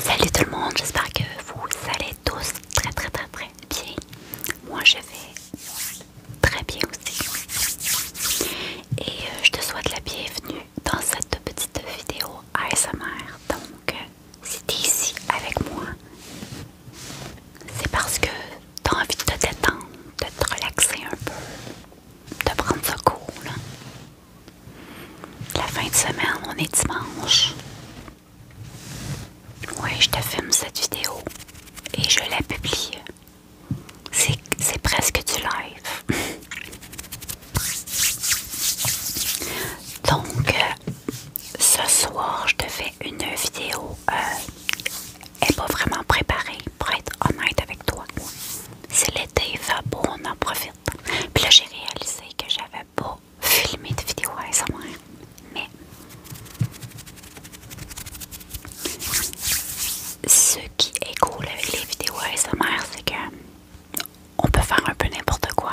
Salut tout le monde, j'espère que vous allez tous très très très très bien. Moi je vais très bien aussi. Et euh, je te souhaite la bienvenue dans cette petite vidéo ASMR. Donc euh, si tu es ici avec moi, c'est parce que tu as envie de te détendre, de te relaxer un peu, de prendre ce cool. Hein. La fin de semaine, on est dimanche. Oui, je te filme cette vidéo et je la publie. C'est presque du live. Donc, euh, ce soir, je te fais une vidéo. Euh, elle n'est pas vraiment préparée, pour être honnête avec toi. Si l'été va beau, on en profite. Puis là, j'ai réalisé que j'avais pas filmé de vidéo à ASMR, mais ce qui est cool avec les vidéos ASMR, c'est que on peut faire un peu n'importe quoi.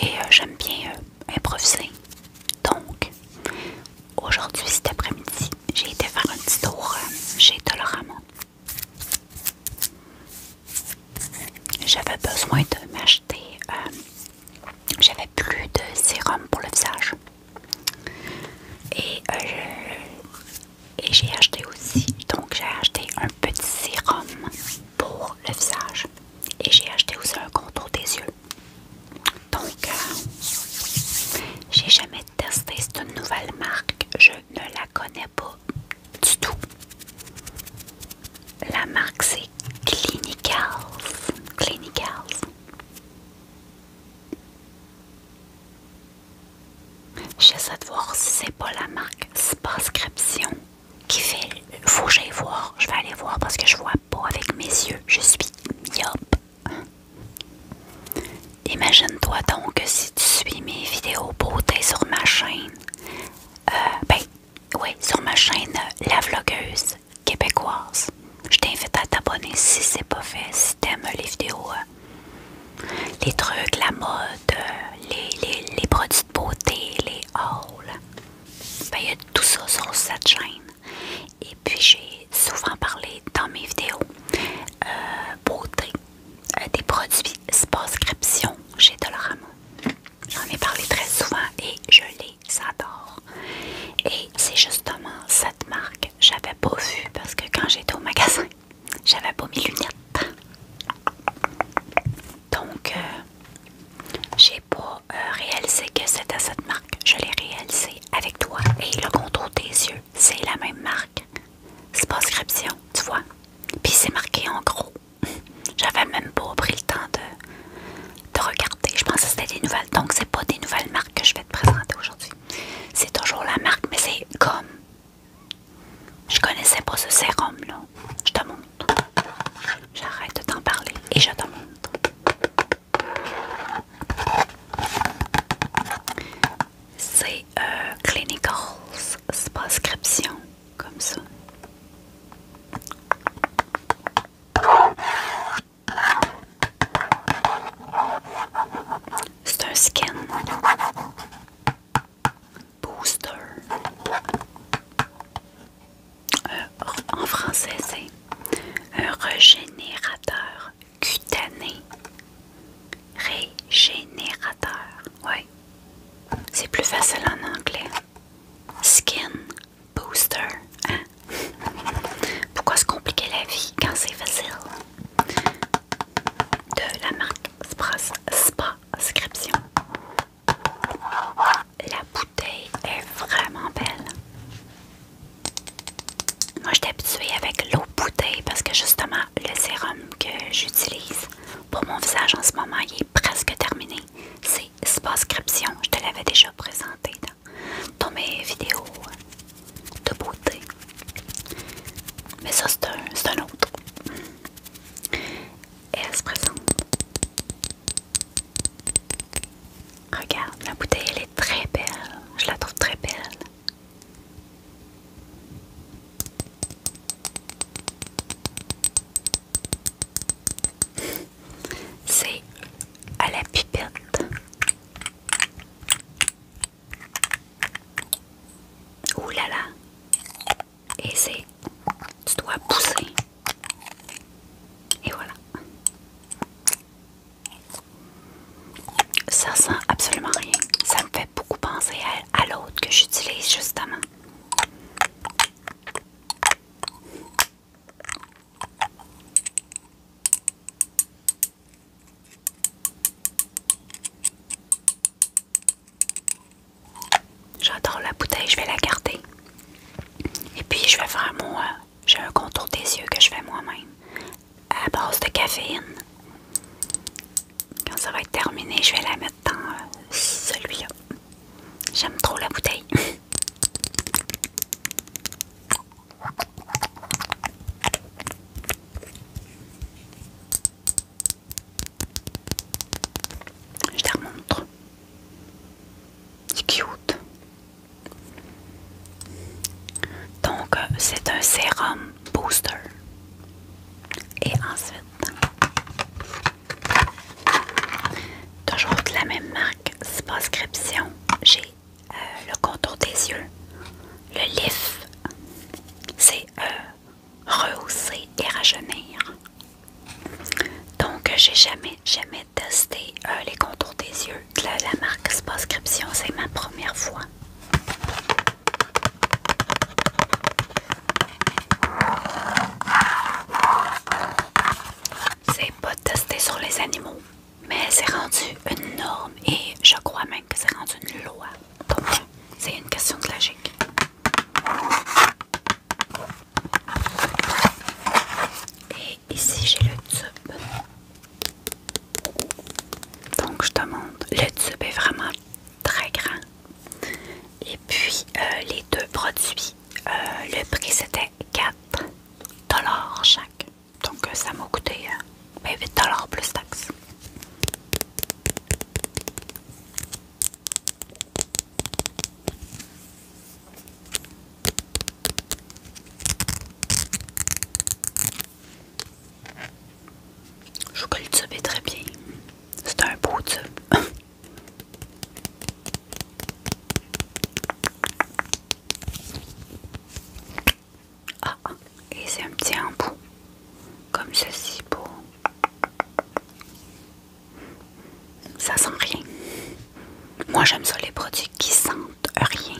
Et euh, j'aime bien euh, improviser. Donc, aujourd'hui, cet après-midi, j'ai été faire un petit tour euh, chez Dolorama. J'avais besoin de m'acheter. Euh, j'avais plus de sérum pour le visage. Et, euh, et j'ai acheté aussi. Donc, j'ai acheté un petit sérum pour le visage. Et j'ai acheté aussi un contour des yeux. Donc, j'ai jamais tester. C'est une nouvelle marque. Je ne la connais pas du tout. La marque, c'est Clinicals. Clinicals. J'essaie de voir si c'est pas la marque Spascription qui fait. Faut que j'aille voir. Je vais aller voir parce que je vois pas avec mes yeux. Je suis myope. Imagine-toi donc que si tu suis mes vidéos beauté sur ma chaîne, euh, ben, oui, sur ma chaîne euh, La Vlogueuse québécoise, je t'invite à t'abonner si c'est pas fait, si t'aimes les vidéos, euh, les trucs, la mode, les, produits de beauté, les hauls. Ben, il y a tout ça sur cette chaîne. Et puis j'ai souvent parlé dans mes vidéos euh, euh, des produits Spascription chez Dolorama. J'en ai parlé très souvent et je les adore. Et c'est justement cette marque, j'avais pas vu parce que quand j'étais au magasin, j'avais pas mes lunettes. Donc, euh, j'ai pas réel euh, réalisé que c'était cette marque. Je l'ai réalisé avec toi et le contour des yeux, c'est la même marque. C'est pas tu vois. Puis c'est marqué en gros. J'avais même pas pris le temps de, de regarder. Je pense que c'était des nouvelles. Donc c'est pas des nouvelles marques que je vais te présenter aujourd'hui. C'est toujours la marque, mais c'est comme. Je connaissais pas ce sérum là. Je te montre. J'arrête de t'en parler et je te montre. C'est euh, Clinicals, prescription comme ça. C'est un skin. Booster. Euh, en français c'est un régénérateur cutané. Régénérateur, oui. C'est plus facile en anglais. Skin booster, hein? Pourquoi se compliquer la vie quand c'est facile? De la marque Spa la bouteille est vraiment belle. Moi, j'étais habituée avec l'eau bouteille parce que justement, le sérum que j'utilise pour mon visage en ce moment, il est presque terminé. C'est Spascription. Je te l'avais déjà présenté dans, dans mes vidéos de beauté. Mais ça, c'est un, un autre. Elle se présente. Regarde, la bouteille elle est très belle. Je la trouve très belle. C'est à la pipette. Ouh là là et c'est tu dois pousser et voilà ça sent absolument rien ça me fait beaucoup penser à, à l'autre que j'utilise justement J'adore la bouteille, je vais la garder. Et puis je vais faire mon... J'ai un contour des yeux que je fais moi-même à base de caféine. Quand ça va être terminé, je vais la mettre dans euh, celui-là. J'aime trop la bouteille. Je te remontre. C'est cute. Donc, euh, c'est un sérum booster. Et ensuite, toujours de la même marque, prescription, j'ai euh, le contour des yeux, le lift, c'est euh, rehausser et rajeunir. Donc, j'ai jamais, jamais testé euh, les contours des yeux de la, marque Scription, c'est ma première fois. C'est pas testé sur les animaux, mais c'est rendu une norme et je crois même que c'est rendu une loi. Donc, c'est une question de logique. Et ici, j'ai le tube. Donc, je te montre. Le tube est vraiment très grand. Et puis, euh, les deux produits, euh, le prix c'était 4 dollars chaque. Donc, euh, ça m'a coûté mais 8 plus taxes. Je trouve que le tube est très bien. C'est un beau tube. Ah, et c'est un petit embout, comme ceci pour... Ça sent rien. Moi j'aime ça les produits qui sentent rien.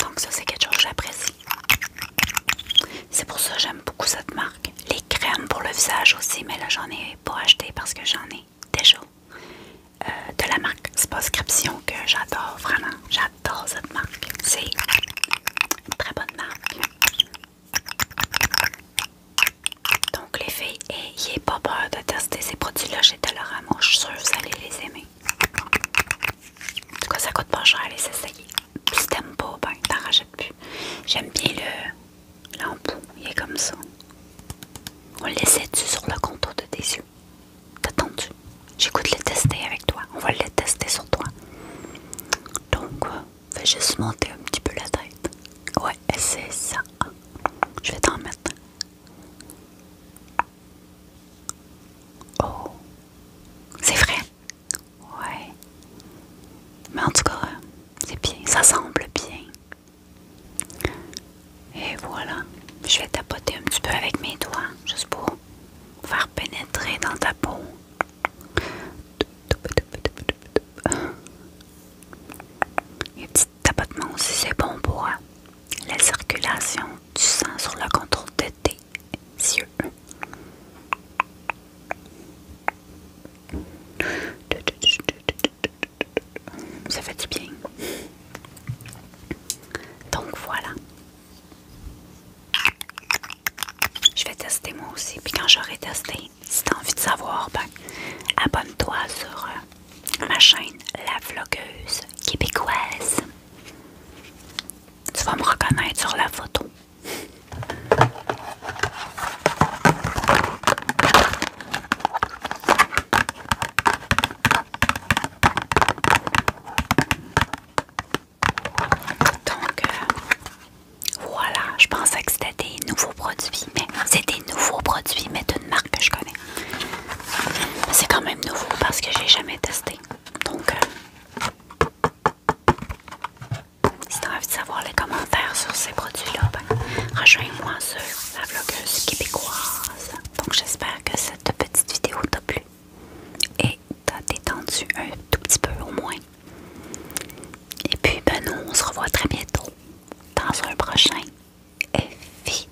Donc ça c'est quelque chose que j'apprécie. C'est pour ça que j'aime beaucoup cette marque. Les crèmes pour le visage aussi, mais là j'en ai pas acheté parce que j'en ai déjà. Euh, de la marque Spascription que j'adore vraiment. J'adore cette marque. C'est une très bonne marque. Donc les filles, n'ayez pas peur de tester ces produits-là chez Dolorama. Je suis sûre que vous allez les aimer. En tout cas, ça coûte pas cher les essayer. si t'aimes pas, ben t'en rajoutes plus. J'aime bien le l'embout, il est comme ça. On laisse laissait sur le contour de tes yeux. T'attends-tu? J'écoute les le tester avec toi. On va le tester sur toi. Donc, euh, fais juste monter un petit peu la tête. Ouais, c'est ça. Je vais t'en mettre. Oh. C'est vrai? Ouais. Mais en tout cas, euh, c'est bien. Ça semble bien. Et voilà, je vais tapoter un petit peu avec mes doigts, juste pour faire pénétrer dans ta peau. Et petit tapotement aussi, c'est bon pour euh, la circulation du sang sur le contrôle de tes yeux ça fait du bien. Donc voilà. Je vais tester moi aussi. Puis quand j'aurai testé, si t'as envie de savoir, ben, abonne-toi sur euh, ma chaîne La Vlogueuse Québécoise. Tu vas me reconnaître sur la photo. Donc, euh, voilà, je pensais que c'était des nouveaux produits, mais c'est des nouveaux produits, mais d'une marque que je connais. C'est quand même nouveau parce que j'ai jamais testé. Donc, euh, si tu as envie de savoir les commentaires sur ces produits-là, ben, rejoins-moi sur la blogueuse québécoise. Donc j'espère que cette petite vidéo t'a plu et t'a détendu un tout petit peu au moins. Et puis ben nous, on se revoit très bientôt dans un prochain effet